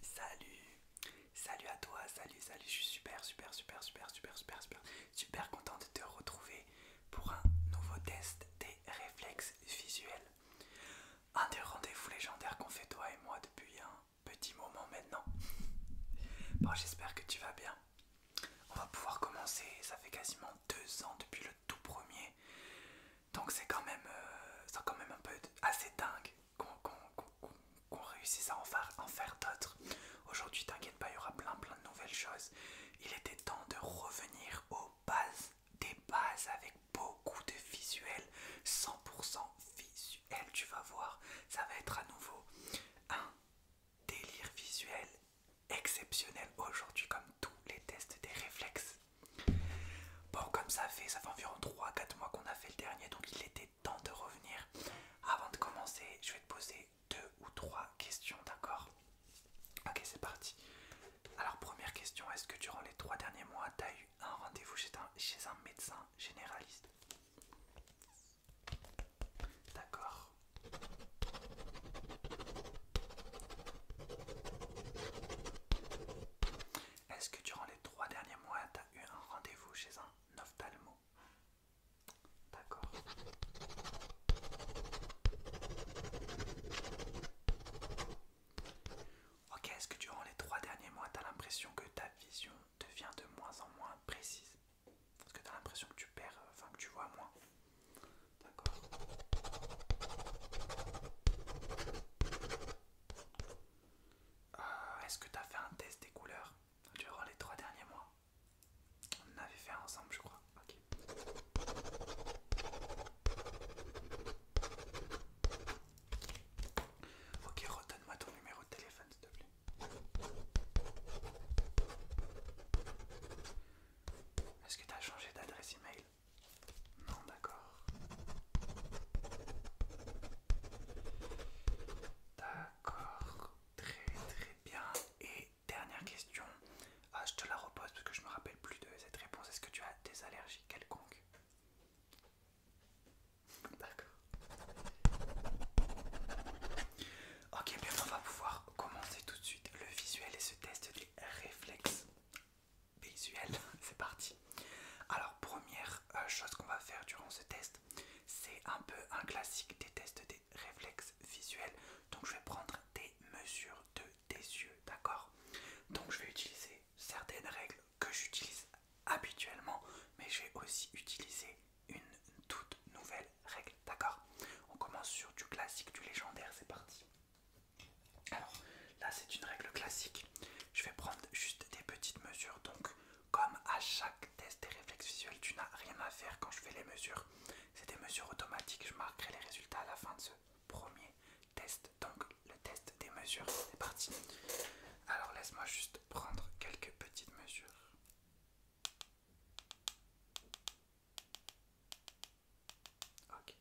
Salut Salut à toi, salut, salut, je suis super, super, super, super, super, super, super, super content de te retrouver pour un nouveau test des réflexes visuels. Un des rendez-vous légendaires qu'on fait toi et moi depuis un petit moment maintenant. Bon, j'espère que tu vas bien. On va pouvoir commencer, ça fait quasiment deux ans depuis le tout premier, donc c'est quand même, euh, quand même un peu assez dingue qu'on réussisse à en faire, d'autres. Aujourd'hui, t'inquiète pas, il y aura plein plein de nouvelles choses. Il était temps de revenir aux bases des bases avec beaucoup de visuels, 100% visuel, tu vas voir, ça va être à nouveau un délire visuel exceptionnel aujourd'hui comme tous les tests des réflexes Bon, comme ça fait, ça fait environ 3-4 mois qu'on a fait le dernier, donc il était temps de revenir. Avant de commencer, je vais te poser deux ou trois questions, d'accord Ok, c'est parti. Alors, première question, est-ce que durant les 3 derniers mois, tu as eu un rendez-vous chez un, médecin généraliste D'accord. Est-ce que durant les 3 derniers mois, tu eu un rendez-vous chez un ophtalmo. D'accord. Ok, est-ce que durant les trois derniers mois, tu as l'impression que ta vision devient de moins en moins précise Parce que tu as l'impression que tu perds, euh, enfin que tu vois moins. D'accord. Ah, est-ce que tu as fait un test des couleurs durant les trois derniers mois On en avait fait ensemble, je crois. Ok. Ok, redonne-moi ton numéro de téléphone, s'il te plaît. Est-ce que tu as changé d'adresse email Non, d'accord. D'accord, très très bien. Et dernière question, ah, je te la repose parce que je me rappelle plus de cette réponse. Est-ce que tu as des allergies quelconques D'accord. Ok, bien on va pouvoir commencer tout de suite le visuel et ce test des réflexes visuel. c'est parti. Alors, première euh, chose qu'on va faire durant ce test, c'est un peu un classique des tests des réflexes visuels. Donc, je vais prendre des mesures de tes yeux, d'accord Donc, je vais utiliser certaines règles que j'utilise habituellement, mais je vais aussi utiliser une toute nouvelle règle, d'accord On commence sur du classique, du légendaire, c'est parti. Alors, là, c'est une règle classique. Je vais prendre juste des petites mesures. Donc, comme à chaque test des réflexes visuels, tu n'as rien à faire quand je fais les mesures. C'est des mesures automatiques. Je marquerai les résultats à la fin de ce premier test. Donc, le test des mesures, c'est parti. Alors, laisse-moi juste prendre quelques petites mesures. Ok,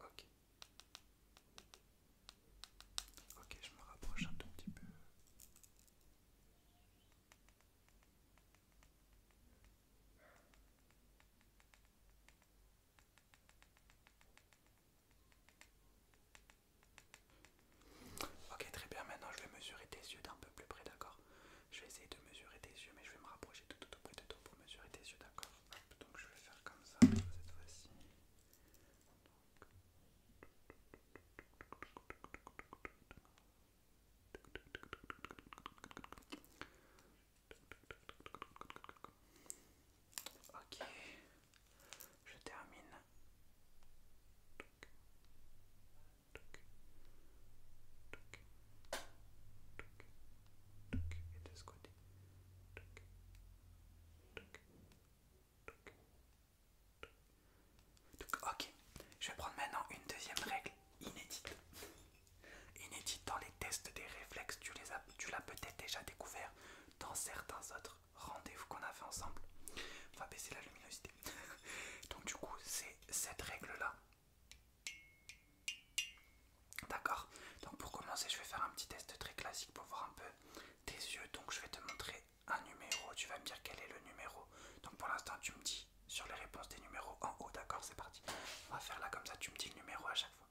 Ok. Ok, je me rapproche un tout petit peu. Ok, très bien. Maintenant, je vais mesurer tes yeux d'un peu plus près, d'accord Je vais essayer de mesurer tes yeux, mais je vais me rapprocher tout, tout, tout près de toi pour mesurer tes yeux, d'accord donc je vais faire comme ça cette fois-ci. Ok, je termine ce côté. Ok, je vais prendre maintenant une deuxième règle inédite. Inédite dans les tests des réflexes, tu tu l'as peut-être déjà découvert dans certains autres rendez-vous qu'on a fait ensemble. On va baisser la luminosité. Donc du coup, c'est cette règle-là D'accord. Donc pour commencer, je vais faire un petit test très classique pour voir un peu tes yeux. Donc je vais te montrer un numéro. Tu vas me dire quel est le numéro. Donc pour l'instant, tu me dis sur les réponses des numéros en haut. D'accord, c'est parti. On va faire là comme ça. Tu me dis le numéro à chaque fois.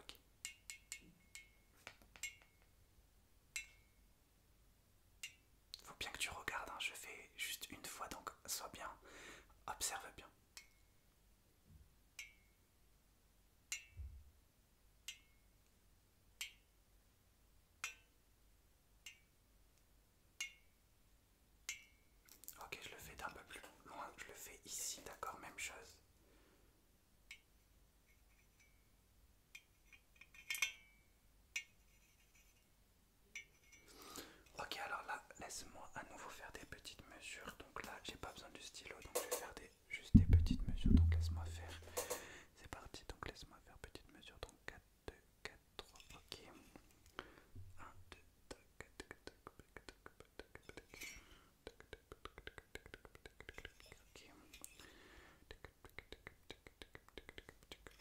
Ok. Faut bien que tu regardes. Hein. Je fais juste une fois, donc sois bien. Observe bien. Ok, je le fais d'un peu plus loin, je le fais ici, d'accord, même chose. Ok, alors là, laisse-moi à nouveau faire des petites mesures. Donc là, j'ai pas besoin du stylo, donc je vais faire juste des petites mesures. Donc laisse-moi faire. C'est parti, donc laisse-moi faire petites mesures. Donc 4, 2, 4, 3, ok. 1, 2, 3, 4,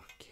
Ok. Ok.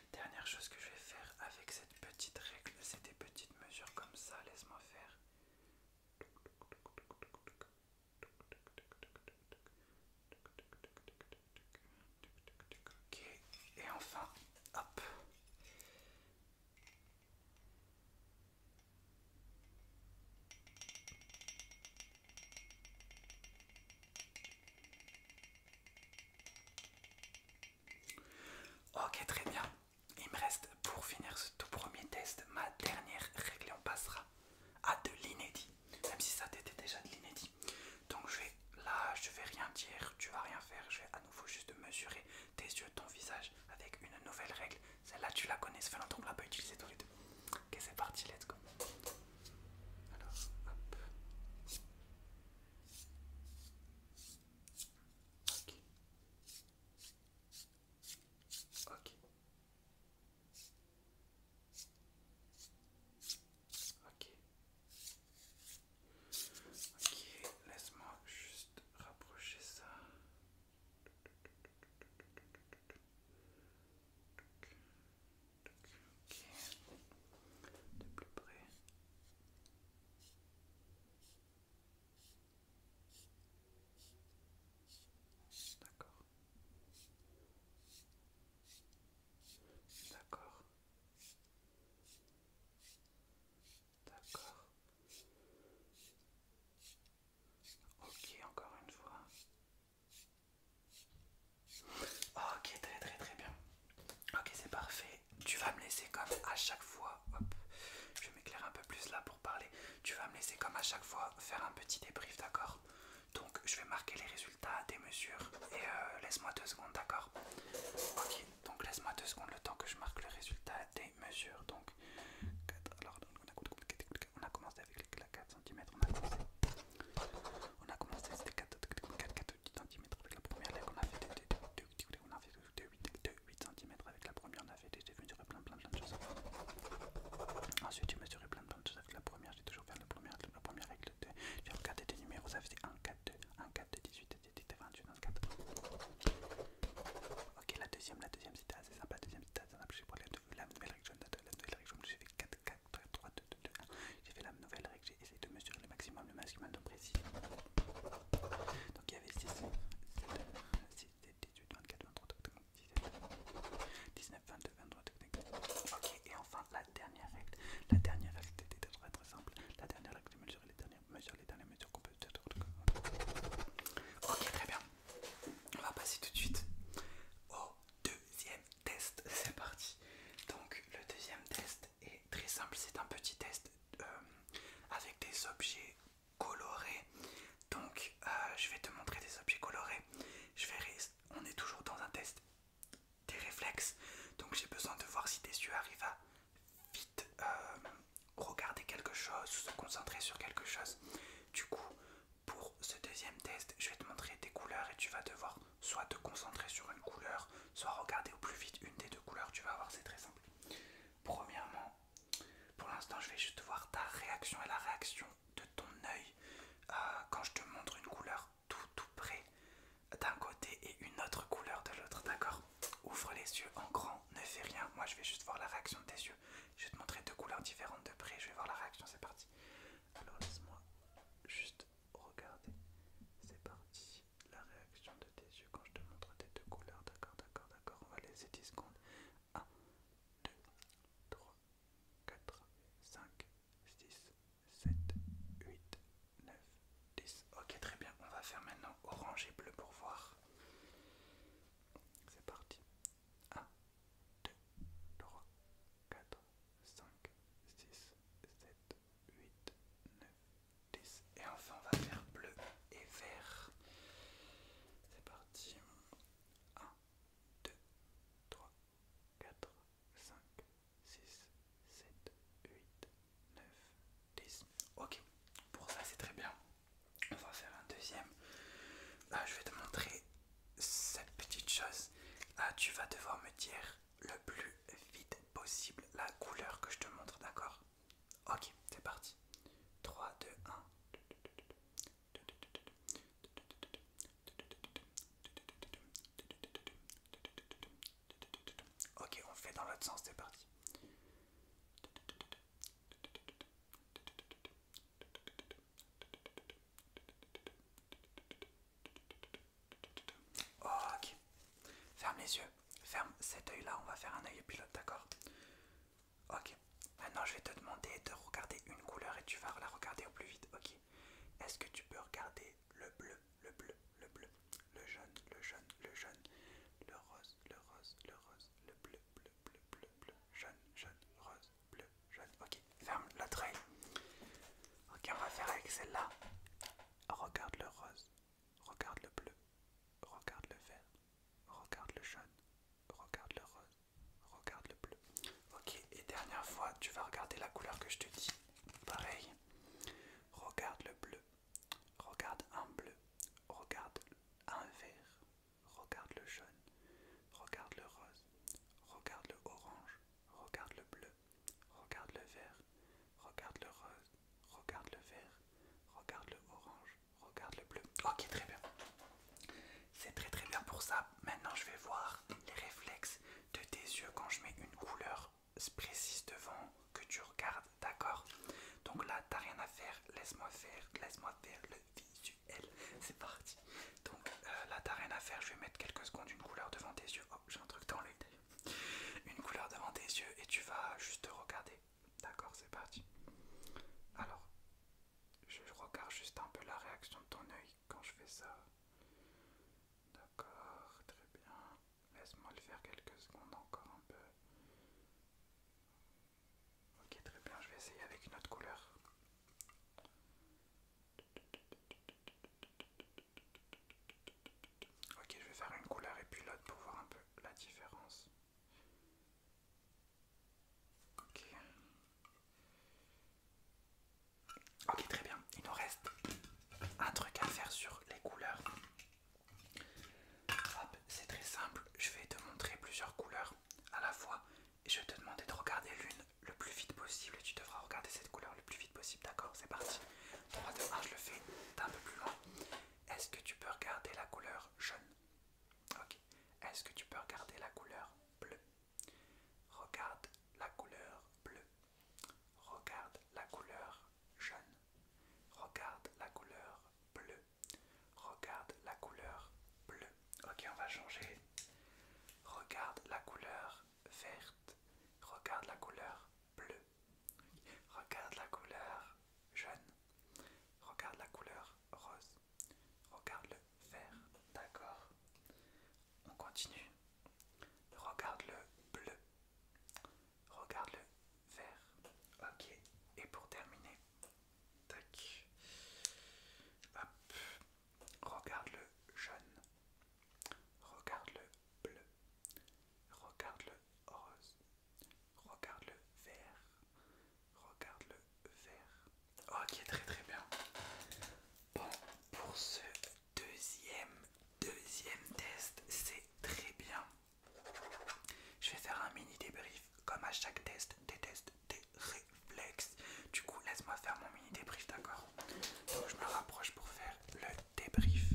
Dernière chose que je vais faire avec cette petite règle, c'est des petites mesures comme ça, laisse-moi faire. et enfin, hop. Ok, très bien. Il me reste pour finir ce tout premier test ma dernière règle et on passera à de l'inédit. Même si ça t'était déjà de l'inédit. Donc je vais là, je vais rien dire, tu vas rien faire. Je vais à nouveau juste mesurer tes yeux, ton visage avec une nouvelle règle. Celle-là, tu la connais, ça fait longtemps qu'on l'a pas utilisée tous les deux. Ok, c'est parti, let's go. Alors, hop. Ok. Ok. Ok. laisse-moi juste rapprocher ça. De plus près. D'accord. D'accord. D'accord. Ok, encore une fois. Ok, très très très bien. Ok, c'est parfait tu vas me laisser comme à chaque fois. Hop, je vais m'éclairer un peu plus là pour parler. Tu vas me laisser comme à chaque fois faire un petit débrief, d'accord Donc je vais marquer les résultats des mesures et euh, laisse-moi deux secondes, d'accord Ok, donc laisse-moi deux secondes le temps que je marque le résultat des mesures. Donc, alors on a commencé avec la 4 cm, on a commencé. On a commencé, c'était 4 cm avec la première ligne on a fait, on a fait 8, cm avec la première navette et j'ai mesuré plein plein plein de choses. Ensuite j'ai mesuré plein plein de choses avec la première, j'ai toujours fait la première, la première règle 2. J'ai regardé des numéros, ça faisait 1, 4, 2, 1, 4, 2, 18, 18, 28, 24. Ok la deuxième, la deuxième c'était assez sympa, la deuxième c'était assez sympa, j'ai pris la nouvelle règle jaune, la nouvelle règle jaune, j'ai fait 4, 4, 3, 2, 2, 2, 1. J'ai fait la nouvelle règle, c'est de mesurer le maximum, le maximum de précis. Donc il y avait et enfin la dernière règle. La dernière règle très très simple. La dernière règle de mesurer les dernières mesures, qu'on peut. Ok, On va passer tout de suite au deuxième test. C'est parti. Donc le deuxième test est très simple. C'est un petit test euh, avec des objets colorés. Donc euh, je vais te montrer des objets colorés. Je vais on est toujours dans un test des réflexes. Donc j'ai besoin de voir si tes yeux arrivent à vite euh, regarder quelque chose, se concentrer sur quelque chose. Du coup, pour ce deuxième test, je vais te montrer des couleurs et tu vas devoir soit te concentrer sur une couleur, soit regarder au plus vite une des deux couleurs. Tu vas voir, c'est très simple. Premièrement, pour l'instant, je vais juste voir ta réaction et la réaction de ton œil euh, quand je te montre une couleur tout tout près d'un côté et une autre couleur de l'autre, d'accord Ouvre les yeux en grand, ne fais rien. Moi, je vais juste voir la réaction de tes yeux. Je vais te montrer deux couleurs différentes de près. Je vais voir la réaction. C'est parti. Alors laisse-moi juste regarder. C'est parti la réaction de tes yeux quand je te montre tes deux couleurs. D'accord, d'accord, d'accord. On va laisser 10 secondes. 1, 2, 3, 4, 5, 6, 7, 8, 9, 10. Ok, très bien. On va faire maintenant orange et bleu pour voir. C'est parti. 1, 2, 3, 4, 5, 6, 7, 8, 9, 10. Et enfin, on va faire bleu et vert. C'est parti. 1, 2, 3, 4, 5, 6, 7, 8, 9, 10. Ok, pour ça c'est très bien. On va faire un deuxième. Ah, je vais te montrer cette petite chose. Ah, tu vas devoir me dire le plus vite possible la couleur que je te montre, d'accord Ok, c'est parti. 3, 2, 1. Ok, on fait dans l'autre sens, c'est parti. Ok, ferme les yeux ferme cet œil là, on va faire un œil pilote, d'accord Ok, maintenant je vais te demander de regarder une couleur et tu vas la regarder au plus vite, ok Est-ce que tu peux regarder le bleu, le bleu, le bleu, le jaune, le jaune, le jaune, le rose, le rose, le rose, le bleu, bleu, bleu, bleu, bleu, jaune, jaune, rose, bleu, jaune, ok Ferme l'autre œil. Ok, on va faire avec celle-là. Regarde le rose, Regarde le bleu, regarde le vert, regarde le jaune, regarde le rose, regarde le bleu. Ok, et dernière fois, tu vas regarder la couleur que je te dis. Pareil. Regarde le bleu, regarde un bleu, regarde un vert, regarde le jaune, regarde le rose, regarde le orange, regarde le bleu, regarde le vert, regarde le rose, regarde le vert, regarde le orange, regarde le bleu. Ok, très bien. C'est très très bien pour ça. Maintenant, je vais voir les réflexes de tes yeux quand je mets une couleur précise devant que tu regardes, d'accord Donc là, t'as rien à faire. Laisse-moi faire, laisse-moi faire le visuel. C'est parti. Donc euh, là, t'as rien à faire. Je vais mettre quelques secondes une couleur devant tes yeux. Oh, j'ai un truc dans l'œil Une couleur devant tes yeux et tu vas juste regarder D'accord, c'est parti. Alors, je regarde juste un peu la réaction de ton œil quand je fais ça. D'accord, très bien. Laisse-moi le faire quelques secondes encore un peu. Ok, très bien, je vais essayer avec une autre couleur. Ok, je vais faire une couleur et puis l'autre pour voir un peu la différence. Ok. très bien. Il nous reste un truc à faire sur les couleurs. Hop, c'est très simple. Je vais te montrer plusieurs couleurs à la fois. Et je vais te demander de regarder l'une le plus vite possible. tu devras regarder cette couleur le plus vite possible. D'accord C'est parti. 3, de 1, je le fais. un peu plus loin. Est-ce que tu peux regarder la couleur jaune Ok. Est-ce que tu peux regarder la couleur bleue Regarde la couleur bleue. Regarde la couleur jaune. Regarde la couleur bleue. Regarde la couleur bleue. Ok, on va changer. Regarde la couleur verte. Regarde la couleur bleue. Regarde la couleur jaune. Regarde la couleur rose. Regarde le vert. D'accord. On continue. Regarde le bleu. Regarde le vert. Ok. Et pour terminer. Tac. Hop. Regarde le jaune. Regarde le bleu. Regarde le rose. Regarde le vert. Regarde le vert. Ok, très très bien. Bon, pour ce deuxième, deuxième test, c'est très bien. Je vais faire un mini débrief, comme à chaque test, des tests, des réflexes. Du coup, laisse-moi faire mon mini débrief, d'accord Donc, je me rapproche pour faire le débrief.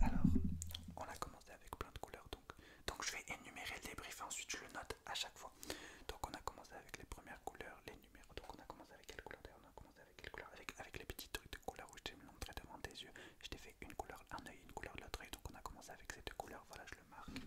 Alors, on a commencé avec plein de couleurs, donc, donc je vais énumérer le débrief et ensuite je le note à chaque fois. Donc on a commencé avec les premières couleurs, les numéros. Donc on a commencé avec quelle couleur d'ailleurs On a commencé avec quelle couleur avec, avec les petits trucs de couleurs où je t'ai montré devant tes yeux. Je t'ai fait une couleur, un oeil, une couleur de l'autre œil. Donc on a commencé avec ces deux couleurs. Voilà, je le marque.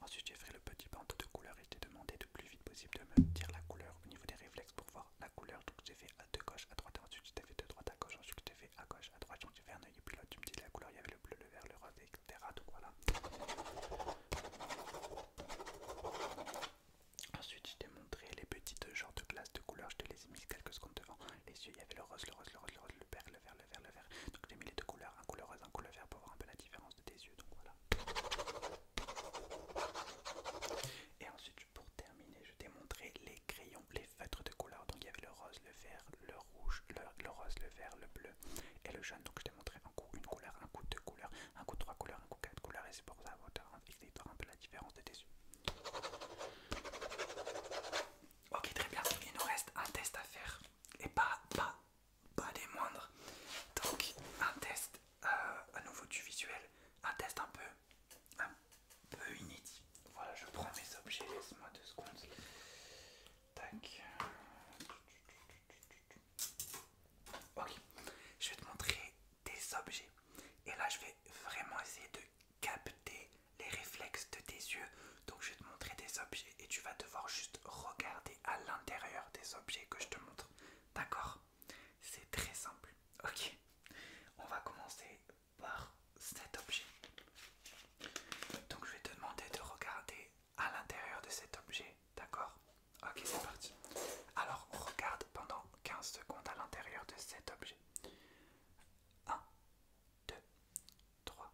Ensuite j'ai fait le petit bandeau de couleur et j'ai demandé le de plus vite possible de me dire la couleur au niveau des réflexes pour voir la couleur. Donc j'ai fait à deux gauche à droite, ensuite j'ai fait de droite à gauche, ensuite j'ai fait à gauche à droite, donc j'ai fait un œil et puis tu me dis la couleur, il y avait le bleu, le vert, le rose, etc. Donc voilà. Ensuite je t'ai montré les petites genres de glaces de couleur, je te les ai mis quelques secondes devant les yeux, il y avait le rose, le rose, le rose, le rose, le vert, le vert, le vert, le vert. Donc j'ai mis les deux couleurs, un couleur rose, un couleur vert pour voir un peu la différence yeux, donc voilà. Et ensuite, pour terminer, je t'ai montré les crayons, les feutres de couleur. Donc il y avait le rose, le vert, le rouge, le, rose, le vert, le bleu et le jaune. Donc je t'ai montré un coup une couleur, un coup deux couleurs, un coup trois couleurs, un coup quatre couleurs. Et c'est pour ça que tu un peu la différence de tes yeux. Ok, très bien. Il nous reste un test à faire. Et pas, pas, pas des moindres. Donc un test euh, à nouveau du visuel, un test un peu, un peu inédit. Voilà, je prends mes objets, laisse-moi deux secondes. Ok, je vais te montrer des objets. Et là, je vais vraiment essayer de capter les réflexes de tes yeux. Donc, je vais te montrer des objets et tu vas devoir juste regarder à l'intérieur des objets que je te montre. D'accord C'est très simple. Ok. On va commencer par cet objet. Donc je vais te demander de regarder à l'intérieur de cet objet. D'accord Ok, c'est parti. Alors regarde pendant 15 secondes à l'intérieur de cet objet. 1, 2, 3,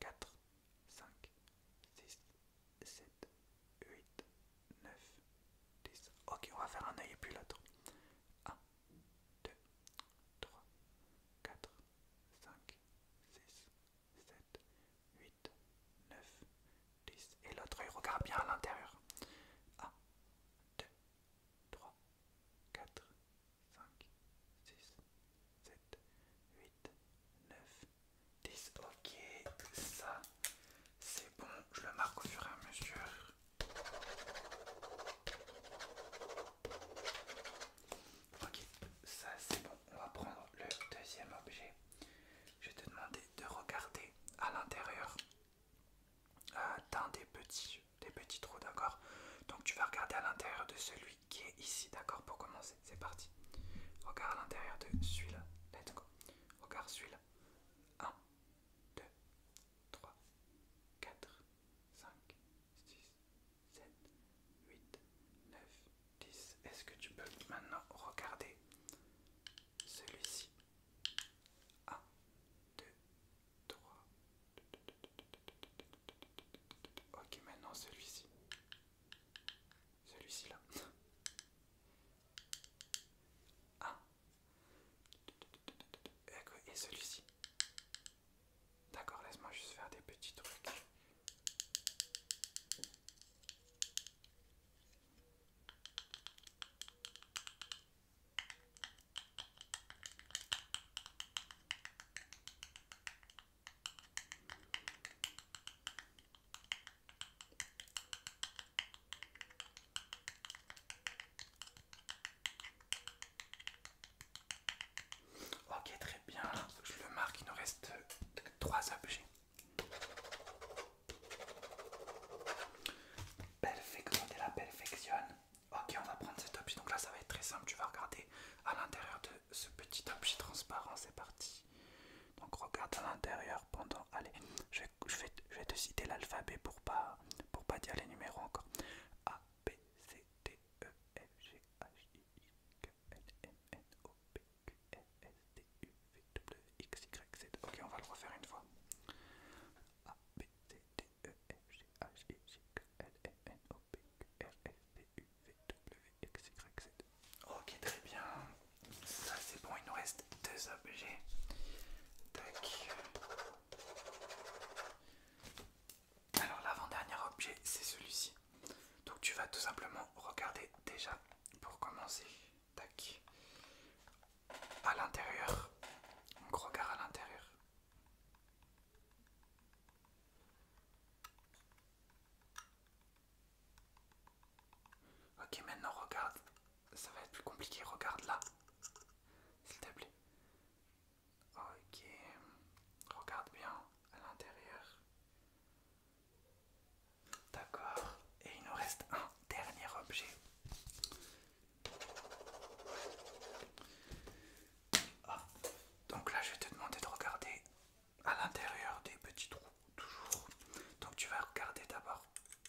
4, 5, 6, 7, 8, 9, 10. Ok, on va faire un œil et puis l'autre. 1, 2, 3, 4, 5, 6, 7, 8, 9, 10. Et l'autre œil regarde bien à l'intérieur. 1, 2, 3, 4, 5, 6, 7, 8, 9, 10, ok, ça c'est bon, je le marque au fur et à mesure. Ok, ça c'est bon, on va prendre le deuxième objet. Je te demander de regarder à l'intérieur euh, d'un des petits, des petits trous, d'accord Donc tu vas regarder à l'intérieur de celui qui est ici, d'accord, pour commencer. C'est parti. Regarde à l'intérieur de celui-là. Let's go. Regarde celui-là. 1, 2, 3, 4, 5, 6, 7, 8, 9, 10. Est-ce que tu peux maintenant regarder celui-ci 1, 2, 3. Ok, maintenant celui-ci. Celui-ci là. Ah. Et celui-ci. D'accord, laisse-moi juste faire des petits trucs. Ok, très bien. Je le marque, il nous reste trois objets. la perfection. Ok, on va prendre cet objet. Donc là, ça va être très simple. Tu vas regarder à l'intérieur de ce petit objet transparent, c'est parti. Donc regarde à l'intérieur pendant... Allez, je, je, vais, te citer l'alphabet pour pas, pour pas dire les numéros encore. A, B, C, D, E, F, G, H, I, I, K, L, M, N, O, P, Q, R, S, T, U, V, W, X, Y, Z. Ok, on va le refaire une fois. A, B, C, D, E, F, G, H, I, L, M, N, O, P, R, S, T, U, VWXYZ. Ok, très bien. Ça c'est bon, il nous reste deux objets. Tac. Alors l'avant-dernier objet c'est celui-ci. Donc tu vas tout simplement regarder déjà pour commencer. Tac. À l'intérieur. Donc regarde à l'intérieur. Ok, maintenant regarde. Ça va être plus compliqué. Regarde là. S'il te plaît. Ok. Regarde bien à l'intérieur. D'accord. Et il nous reste un dernier objet. Ah. Donc là, je vais te demander de regarder à l'intérieur des petits trous toujours donc tu vas regarder d'abord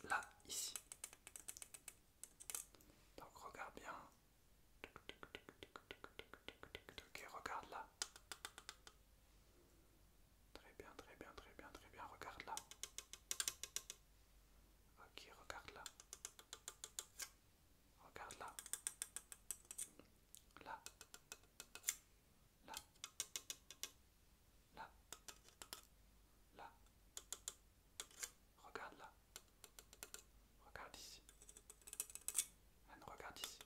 là ici donc regarde bien ok regarde là très bien très bien très bien très bien regarde là ok regarde là regarde là là, là, là, là. Regarde là. Regarde ici. regarde ici.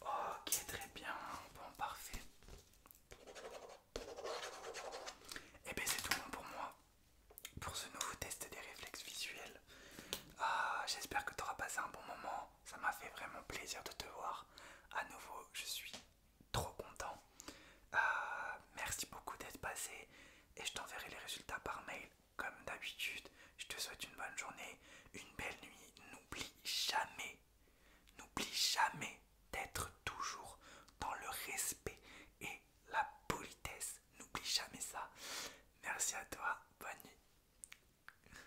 Ok, très bien. Bon, parfait. Et eh bien, c'est tout pour moi. Pour ce nouveau test des réflexes visuels. Ah, J'espère que tu auras passé un bon moment ça m'a fait vraiment plaisir de te voir. À nouveau, je suis trop content. Euh, merci beaucoup d'être passé et je t'enverrai les résultats par mail comme d'habitude. Je te souhaite une bonne journée, une belle nuit. N'oublie jamais, n'oublie jamais d'être toujours dans le respect et la politesse. N'oublie jamais ça. Merci à toi. Bonne nuit.